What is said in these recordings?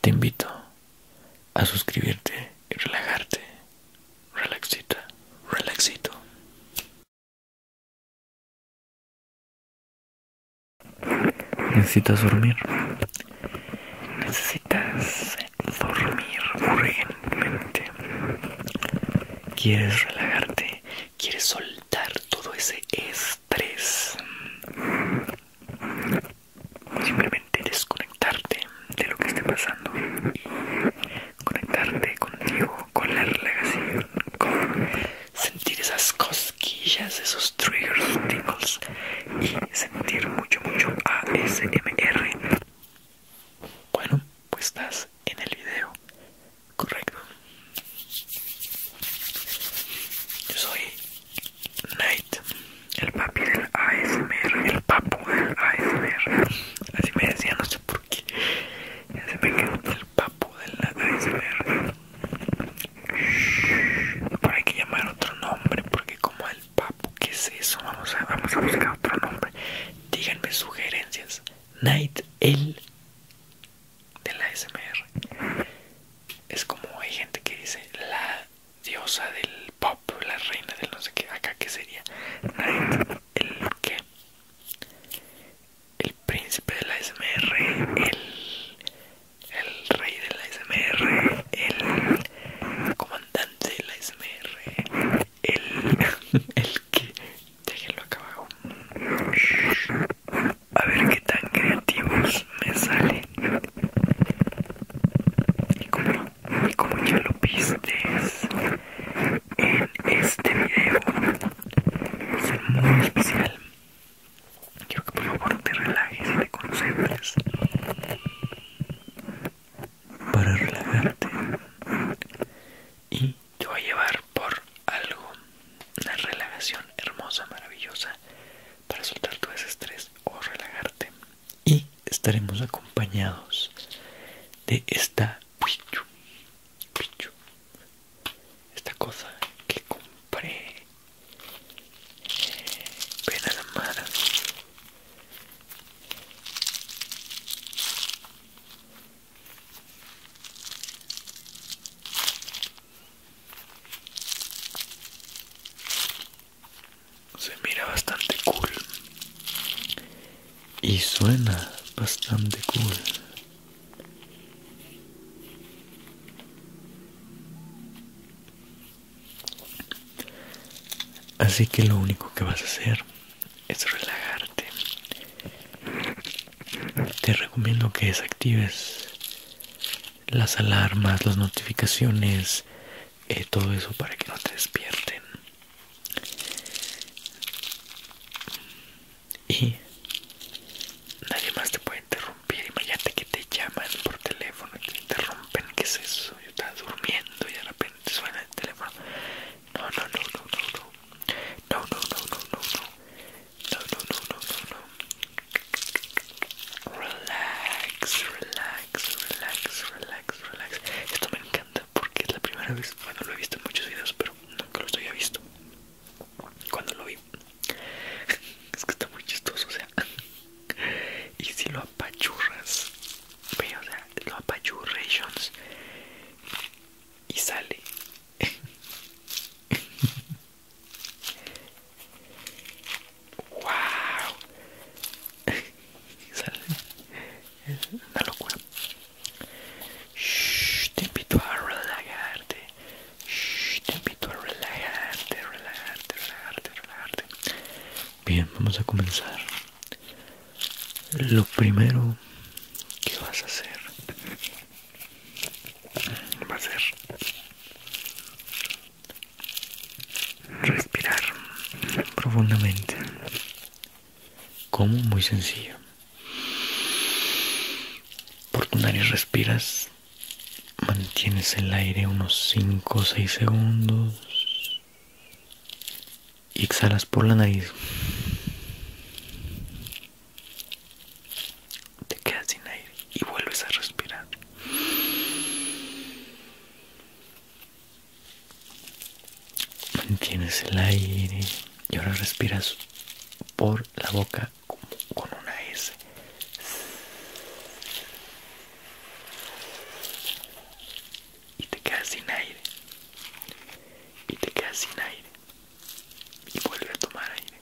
Te invito a suscribirte y relajarte. Relaxita, relaxito. Necesitas dormir. Necesitas dormir urgentemente. Quieres relajarte. Quieres soltar todo ese estrés. Simplemente desconectarte de lo que esté pasando y conectarte contigo, con la relación, con sentir esas cosquillas, esos triggers, tingles y sentir mucho, mucho ASMR. Bueno, pues estás en el video correcto. Yo soy Night, el papi del ASMR, el papu del ASMR. Así me decía, no sé por qué. el papu del ASMR. Pero hay que llamar otro nombre, porque como el papu, ¿qué es eso? Vamos a, vamos a buscar otro nombre. Díganme sugerencias. Night, el del la Es como hay gente que dice la diosa del pop, la reina del no sé qué, acá que sería el que el príncipe de la SMR, el, rey de la SMR, el comandante de la SMR, el, el que déjenlo acá abajo. A ver qué tan creativos me sale y como, ya lo viste en este video, es muy especial. Quiero que por favor te relajes y te concentres. Para relajarte. Y te voy a llevar por algo. Una relajación hermosa, maravillosa para soltar todo ese estrés o relajarte y estaremos acompañados de esta esta cosa que compré ven la mano se mira bastante cool y suena bastante cool así que lo único que vas a hacer es relajarte te recomiendo que desactives las alarmas, las notificaciones, eh, todo eso para que no te despierten. Y nadie más te puede interrumpir. Imagínate que te llaman por teléfono y te interrumpen. ¿Qué es eso? Yo estaba durmiendo y de repente suena el teléfono. no, no, no, no. No, no, no, no, no, no. No, no, no, no, no, no. Relax, relax, relax, relax, relax. Esto me encanta porque es la primera vez, bueno lo he visto en muchos videos, pero nunca lo había visto. Cuando lo vi, es que está muy chistoso, o sea. Y si lo apachurras, ve, o sea, lo apachurras y sale. wow es una locura Shhh, te invito a relajarte shhh te invito a relajarte relajarte relajarte relajarte bien vamos a comenzar lo primero que vas a hacer va a ser respirar profundamente. Como muy sencillo. Por tu nariz respiras, mantienes el aire unos 5 o 6 segundos y exhalas por la nariz. Te quedas sin aire y vuelves a respirar. Mantienes el aire y ahora respiras por la boca con una S. Y te quedas sin aire. Y te quedas sin aire. Y vuelve a tomar aire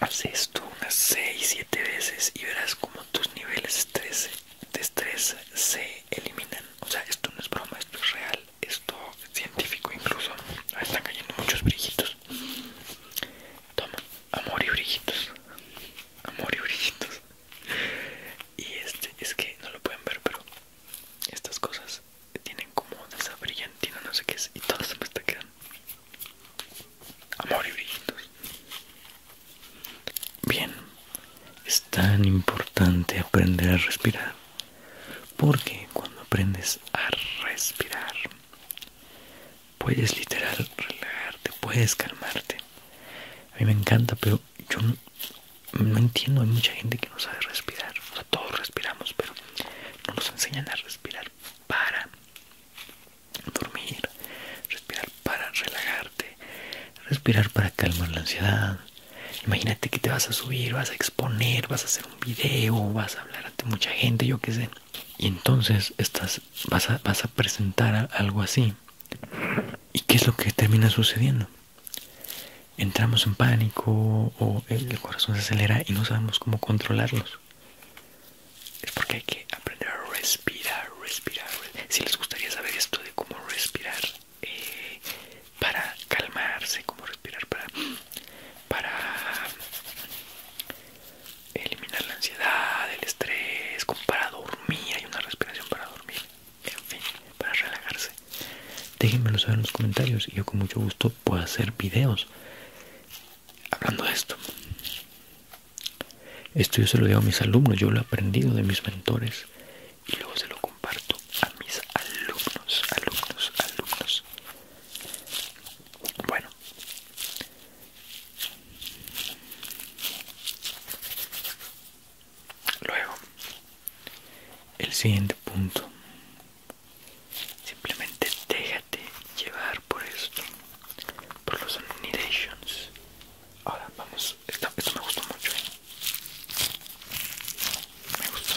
haces esto unas 6-7 veces y verás como tus niveles de estrés, de estrés se eliminan. O sea, esto no es broma, esto es real, esto es científico incluso. Ah, están cayendo muchos brillitos. Toma, amor y brillitos. Amor y brillitos. Y este, es que no lo pueden ver, pero estas cosas tienen como esa brillantina, no sé qué es, y todas se me amor y brillitos. Bien, es tan importante aprender a respirar, porque cuando aprendes a respirar, puedes literal relajarte, puedes calmarte. A mí me encanta, pero yo no, entiendo, hay mucha gente que no sabe respirar, o sea, todos respiramos, pero no nos enseñan a respirar para dormir, respirar para relajarte, respirar para calmar la ansiedad. Imagínate que te vas a subir, vas a exponer, vas a hacer un video, vas a hablar ante mucha gente, yo qué sé. Y entonces estás, vas, a, vas a presentar algo así. ¿Y qué es lo que termina sucediendo? Entramos en pánico o el corazón se acelera y no sabemos cómo controlarlos. Es porque hay que aprender a respirar, respirar. Si les gustaría saber esto de cómo respirar eh, para calmarse, cómo respirar para, para eliminar la ansiedad, el estrés, como para dormir, hay una respiración para dormir, para relajarse. Déjenmelo saber en los comentarios y yo con mucho gusto puedo hacer videos hablando de esto. Esto yo se lo digo a mis alumnos, yo lo he aprendido de mis mentores y luego se lo comparto a mis alumnos, alumnos, alumnos. Bueno. Luego, el siguiente punto Simplemente déjate llevar por esto, por los annihilations. Ahora vamos, esto, me gustó mucho. ¿eh? Me gustó.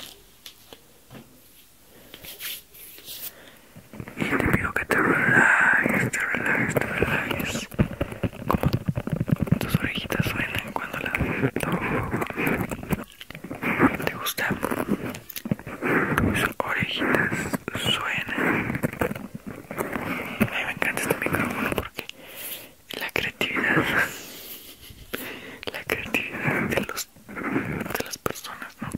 Y te pido que te relajes, te relajes, te relajes. Como tus orejitas suenan cuando la ¿Te gusta? sus orejitas suenan. A mí me encanta este micrófono porque la creatividad, la creatividad de, los, de las personas, ¿no?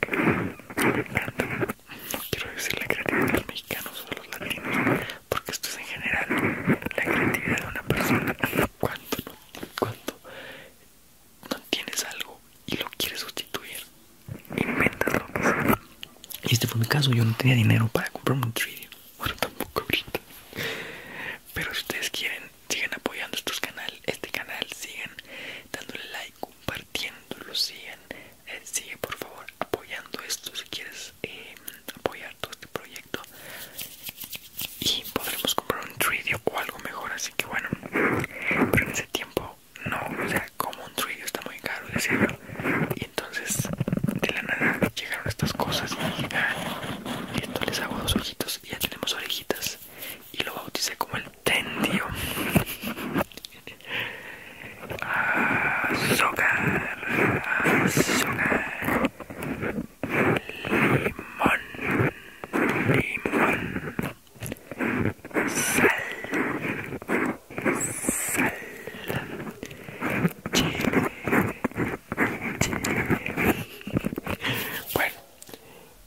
quiero decir la creatividad de los mexicanos o de los latinos, porque esto es en general la creatividad de una persona. Cuando cuando no tienes algo y lo quiere sustituir, invéntalo. Y este fue mi caso, yo no tenía dinero para comprar un tridio bueno tampoco ahorita. Pero si ustedes quieren, siguen apoyando estos canales, este canal, siguen dándole like, compartiéndolo, sigan, eh, sigue por favor apoyando esto si quieres em, apoyar todo este proyecto y podremos comprar un tridio o algo mejor así que bueno pero en ese tiempo no, o sea, como un trillo, está muy caro, decirlo Y entonces, de la nada llegaron estas cosas y entonces ah, les hago dos ojitos y ya tenemos orejitas. Y lo bauticé como el tendio. limón, limón sal, sal, chile, chile. Bueno,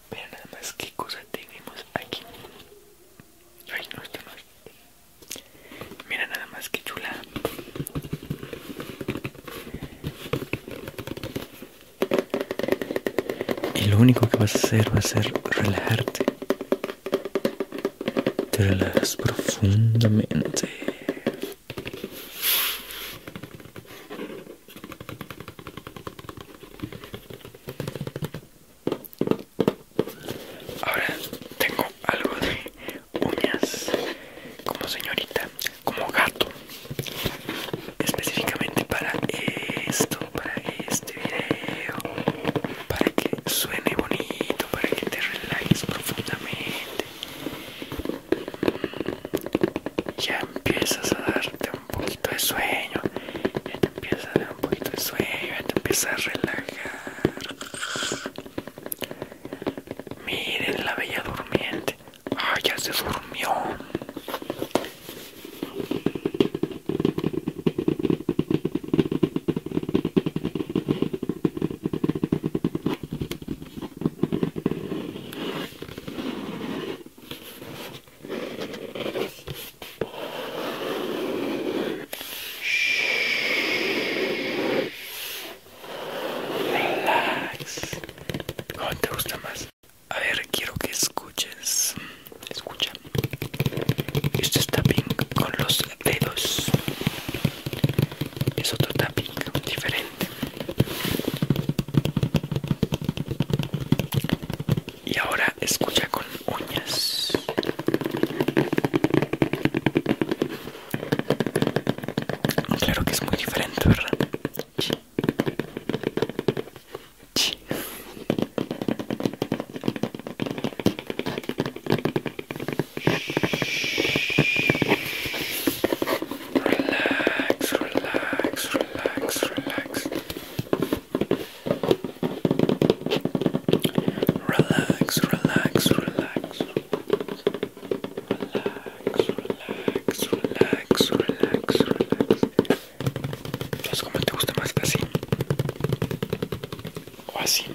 mira nada más qué cosa tenemos aquí. Ay, no está mal. Mira nada más que chula. Y lo único que vas a hacer va a ser relajarte te relajas profundamente. Ahora tengo algo de uñas como señorita, como gato, específicamente para esto, para esto este video para que suene bonito, para que te relajes profundamente. Mm, ya empiezas a darte un poquito de sueño, ya te empiezas a dar un poquito de sueño, ya te empiezas a relajar. Miren la bella durmiente. Ah, ya se durmió. Relax. te gusta más? A ver, quiero que escuches escucha esto es tapping con los dedos es otro tapping diferente y ahora escucha con uñas claro que es muy diferente verdad much. relax, relax, relax, relax. Relax, relax, relax. Relax, relax, relax, relax, relax. Entonces, ¿cómo te gusta más? ¿Así? ¿O así?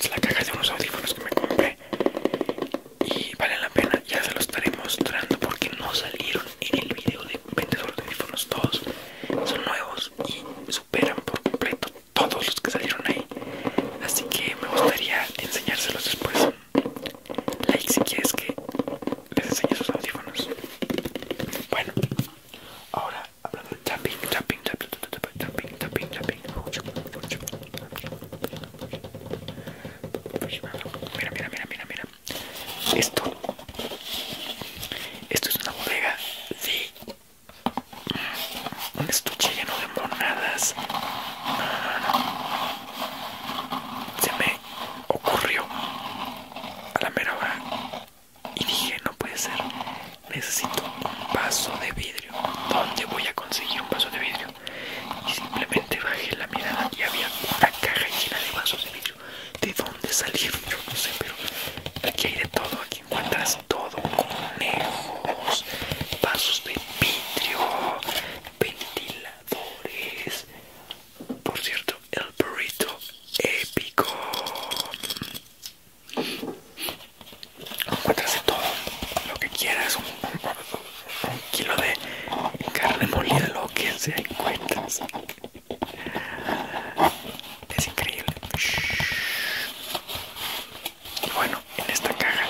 Es la caja de unos audífonos que me compré y vale la pena, ya se los estaré mostrando porque no salieron en el video de 20 de audífonos todos son nuevos y superan por completo todos los que salieron ahí así que me gustaría enseñárselos después. Like si quieres que les enseñe sus audífonos. Bueno, ahora hablando de tapping, taping Mira, mira, mira, mira, mira. Esto, esto es una bodega Sí un estuche lleno de monadas. Se me ocurrió a la mera y dije: No puede ser, necesito un vaso de vidrio. ¿Dónde voy a conseguir un vaso de vidrio? Y simplemente bajé la mirada y había una caja llena de vasos de vidrio. ¿De dónde salieron? Yo no sé, pero aquí hay de todo. Aquí encuentras todo: conejos, vasos de Vitrio, ventiladores. Por cierto, el burrito épico. Encuentras de todo lo que quieras, un, kilo de carne molida, lo que sea encuentras. Es increíble y bueno en esta caja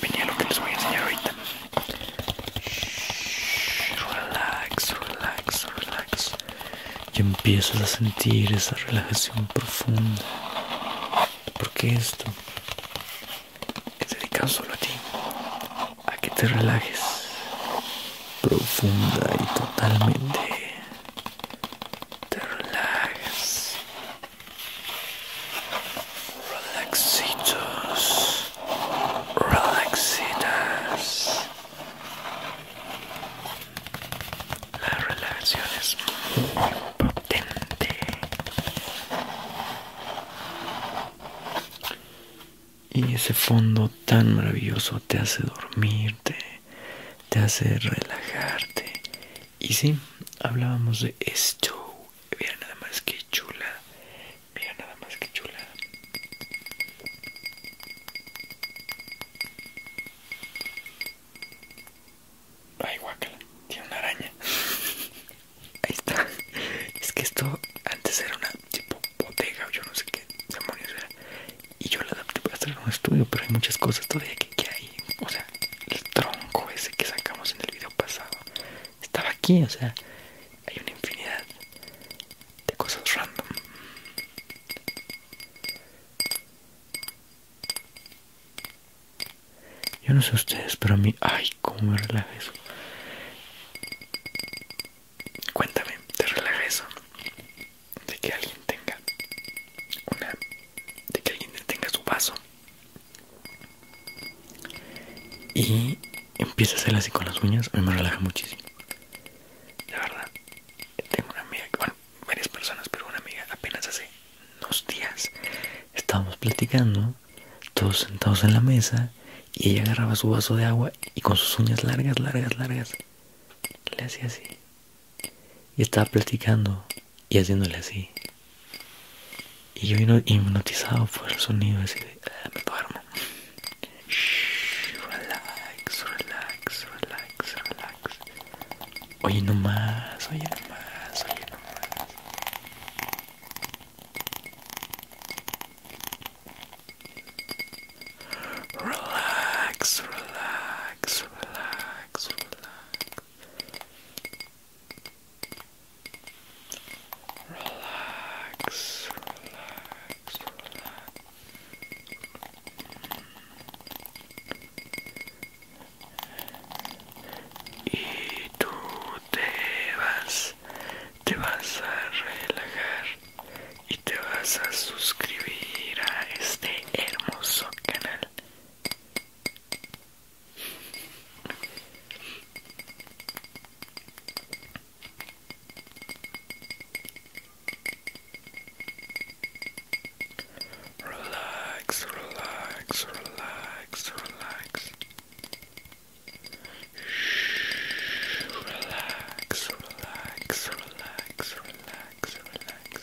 venía lo que les voy a enseñar ahorita relax relax relax y empiezas a sentir esa relajación profunda porque esto es dedicado solo a ti a que te relajes profunda y totalmente te relajes. Relaxitos, relaxitas. La relación es muy potente. Y ese fondo tan maravilloso te hace dormirte, te hace relajarte. Y sí, hablábamos de esto mira nada más que chula. Mira nada más que chula. Ay, Guacala Tiene una araña. Ahí está. Es que esto antes era una tipo botega o yo no sé qué demonios era. Y yo lo adapté para hacer un estudio, pero hay muchas cosas todavía que, que hay. O sea, el tronco ese que sacamos en el video pasado estaba aquí, o sea, hay una infinidad de cosas random. Yo no sé ustedes, pero a mí, ay, como me relaja eso. Cuéntame, ¿te relaja eso? De que alguien tenga una, de que alguien tenga su vaso y empieza a hacer así con las uñas, me relaja muchísimo. La verdad, tengo una amiga, bueno, varias personas, pero una amiga apenas hace unos días estábamos platicando, todos sentados en la mesa, y ella agarraba su vaso de agua y con sus uñas largas, largas, largas, le hacía así. Y estaba platicando y haciéndole así. Y yo vino hipnotizado por el sonido así de, ah, me relax, relax, relax, relax. Oye nomás, oye nomás, oye nomás. Relax, relax, relax, relax. Relax, relax, relax. Y tú te vas, te vas a relajar y te vas a suscribir a este hermoso canal. Relax, relax, relax, relax. Shh, relax, relax, relax, relax, relax.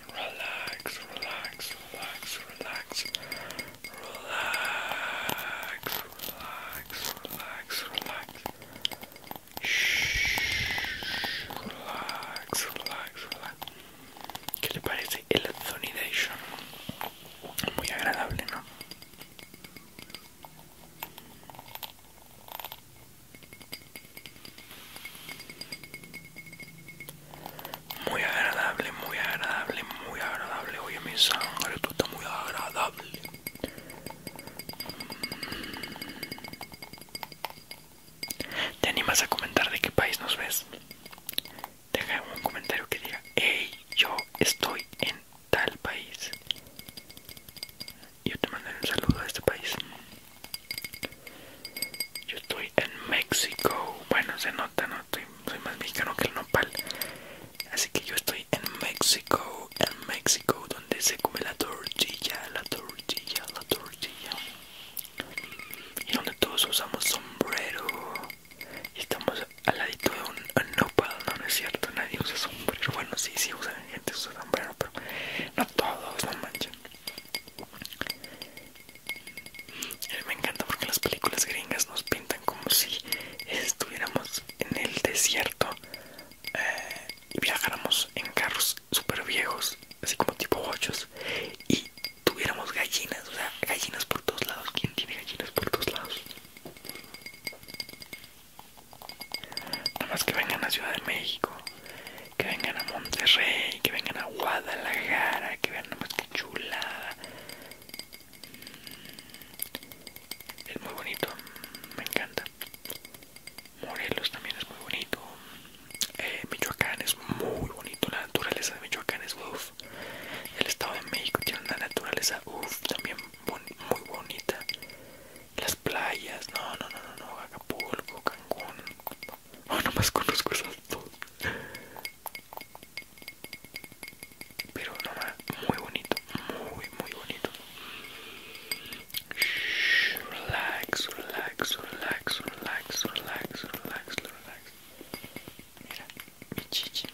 relax, relax, relax, relax, relax, relax, relax, relax. Shh, relax, relax, relax. ¿Qué le parece el Muy agradable, ¿no? Muy agradable, muy agradable, muy agradable. Oye, mi sangre, muy agradable. ¿Te animas a comentar de qué país nos ves? Deja un comentario que diga, hey, yo estoy en tal país. Yo te mando un saludo a este país. Yo estoy en México. Bueno, se nota, no estoy soy más mexicano que el nopal. Así que yo estoy en México, en México, donde se come la tortilla, la tortilla, la tortilla. Y donde todos usamos sombrero. Y estamos al ladito de un nopal, no, es cierto, nadie usa sombrero. Bueno, sí, sí, usan gente usa sombrero, pero no todos, no manchen. A me encanta porque las películas gringas nos pintan como si estuviéramos en el desierto eh, y viajáramos en carros super viejos, así como tipo ocho y tuviéramos gallinas, o sea, gallinas por todos lados. ¿Quién tiene gallinas por todos lados? Nada más que vengan a Ciudad de México, que vengan a Monterrey, que vengan a Guadalajara, que vean nada más que chulada es muy bonito me encanta Morelos también es muy bonito Michoacán es muy bonito la naturaleza de Michoacán es uff el estado de México tiene una naturaleza uff también muy bonita las playas no no no no no Acapulco Cancún No, nomás conozco esas dos pero no muy bonito, muy, muy bonito. relax, relax, relax, relax, relax, relax, relax. Mira, mi chichi.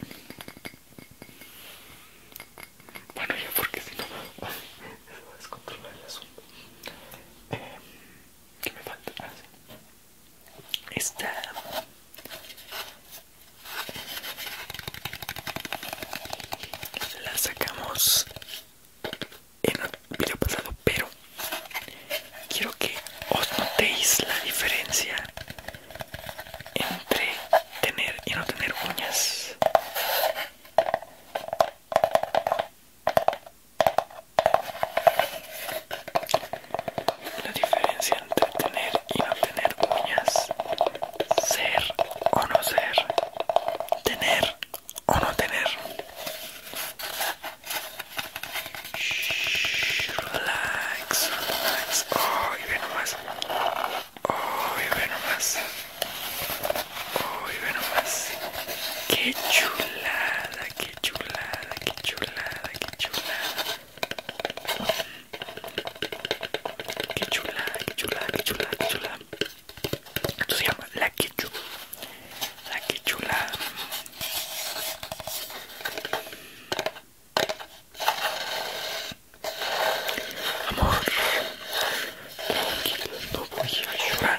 Bueno, ya porque si no se va a descontrolar el asunto. Eh, ¿Qué me falta? Ah, esta la sacamos en el video pasado, pero quiero que os notéis la diferencia entre tener y no tener uñas. La diferencia entre tener y no tener uñas, ser o no ser, tener o no tener. Shh, relax, relax. Oh, ve nomás. Oh, y ve nomás. Oh, y ve nomás. Qué chulada, qué chulada, qué chulada, qué chulada. Qué chula, qué chula, qué chula, qué chula. Esto se llama la que La Amor, no voy a chula.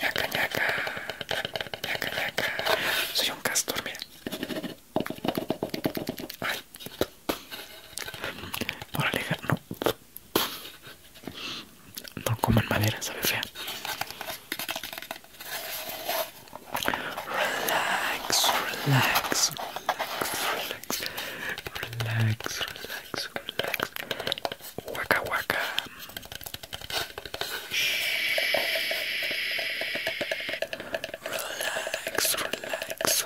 ñaca ñaca, ñaca ñaca. Soy un castor, mira. Ay. Por alejar, no. No coman madera, sabe fea. Relax, relax, relax, relax, relax, relax, relax, Waka Waka. Relax, relax.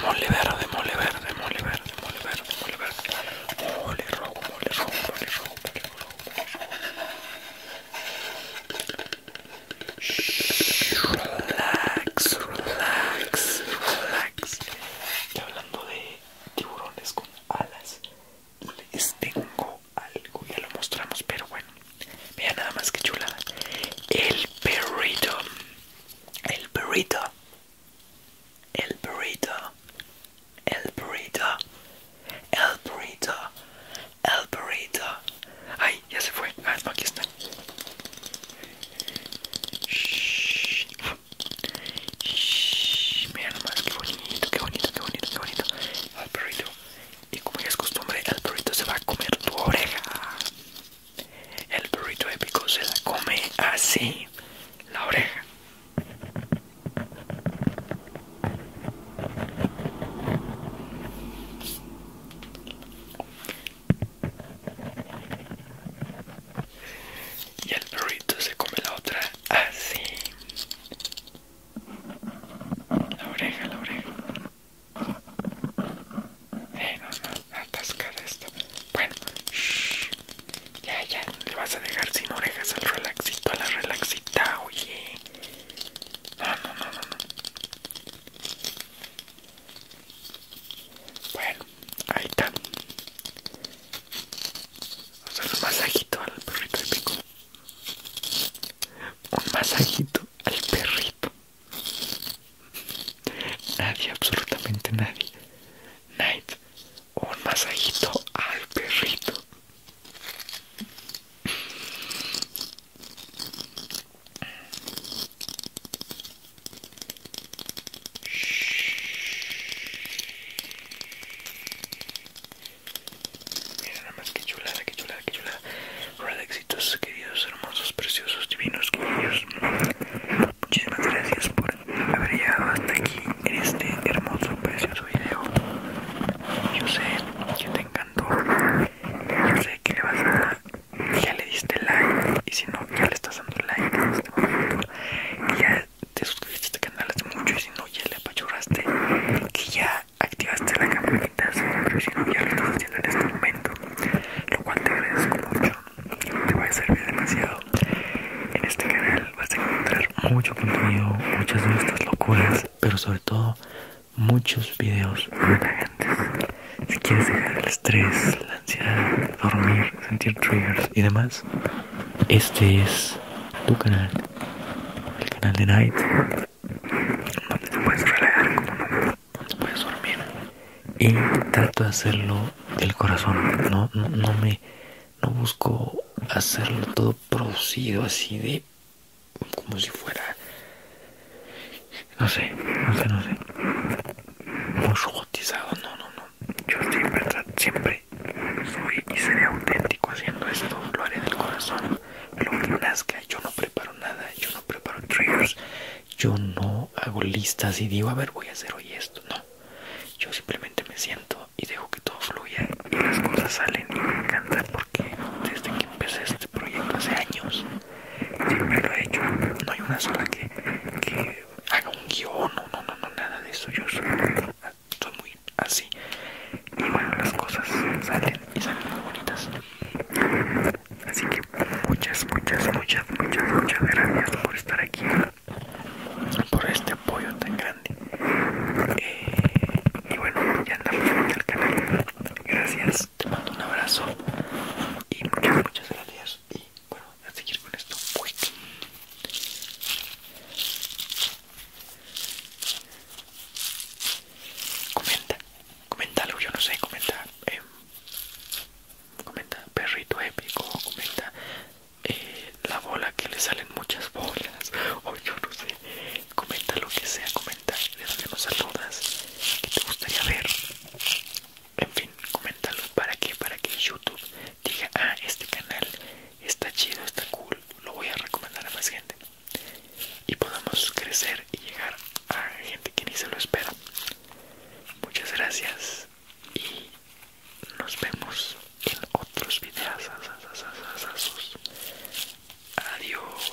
Mole verde, mole verde, mole verde, mole verde, mole verde. Mole rojo, mole rojo, mole rojo, mole rojo, Relax, relax, relax. Estoy hablando de tiburones con alas les tengo algo, ya lo mostramos, pero bueno, mira nada más que chulada. El perrito, el perrito, el perrito, el perrito, el perrito, el perrito. Ay, ya se fue. Ah, no, aquí está. Shhh, mira nomás, qué bonito, qué bonito, qué bonito, qué bonito. el perrito. Y como es costumbre, el perrito se va a comer tu oreja. El perrito épico se la come así, la oreja. Y el perrito se come la otra así. La oreja, la oreja. Eh, no, no, atascada esto, Bueno, Ya, ya, le vas a dejar sin orejas al relaxito, a la relaxita, oye. No, no, no, no, no. Bueno, ahí está. Vamos masajito al perrito de pico. Un masajito al perrito. Nadie, absolutamente nadie. Night, un masajito al perrito. Mira nada más que chulada, que chulada, que chulada. Red éxitos, queridos, hermosos, preciosos, divinos, queridos. Muchísimas gracias por haber llegado hasta aquí en este hermoso, precioso video. Yo sé que te encantó. Yo sé que le vas a dar. Ya le diste like. Y si no, ya le estás dando like este te suscribiste a este canal hace mucho y si no ya le apachurraste que ya activaste la campanita pero si no ya lo estás haciendo en este momento lo cual te agradezco mucho te va a servir demasiado en este canal vas a encontrar mucho contenido muchas de estas locuras pero sobre todo muchos videos grandes si quieres dejar el estrés la ansiedad dormir sentir triggers y demás este es tu canal, el canal de Night, donde te puedes relajar no, puedes dormir. Y trato de hacerlo del corazón, no, no, me, no busco hacerlo todo producido así de, como si fuera, no sé, no sé, no sé, muy robotizado, no, no, no. Yo siempre, siempre soy. y seré auténtico haciendo esto. Lo haré del corazón. Lo que nazca. Yo no preparo nada. Yo no preparo triggers. Yo no hago listas y digo, a ver, voy a hacer hoy esto. No. Yo simplemente me siento y dejo que todo fluya. Y las cosas salen. Y me encanta porque desde que empecé este proyecto hace años, siempre lo he hecho. No hay una sola que, haga un guión. No, no, no, no, nada de eso. Yo soy son muy así y bueno las cosas salen y salen muy bonitas así que muchas muchas muchas muchas muchas gracias por estar aquí por este apoyo tan grande eh, y bueno ya andamos en el canal gracias te mando un abrazo y muchas muchas gracias y bueno a seguir con esto Comenta, comenta yo no sé, comenta, eh, comenta perrito épico, comenta eh, la bola que le salen muchas bolas, o yo no sé, comenta lo que sea, comenta de damos nos saludas, que te gustaría ver, en fin, coméntalo para que, para que YouTube diga, ah, este canal está chido, está cool, lo voy a recomendar a más gente y podamos crecer y llegar a gente que ni se lo espera. Muchas gracias y nos vemos en otros videos. Adiós.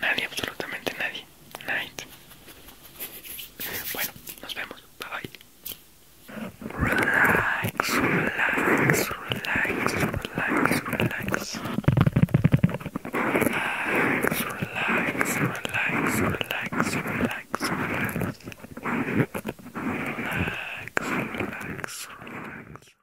Nadie, absolutamente nadie. Night. Bueno, nos vemos. Bye bye. Relax, relax, relax, relax, relax. Relax, relax, relax, relax, relax, relax. Relax, relax, relax.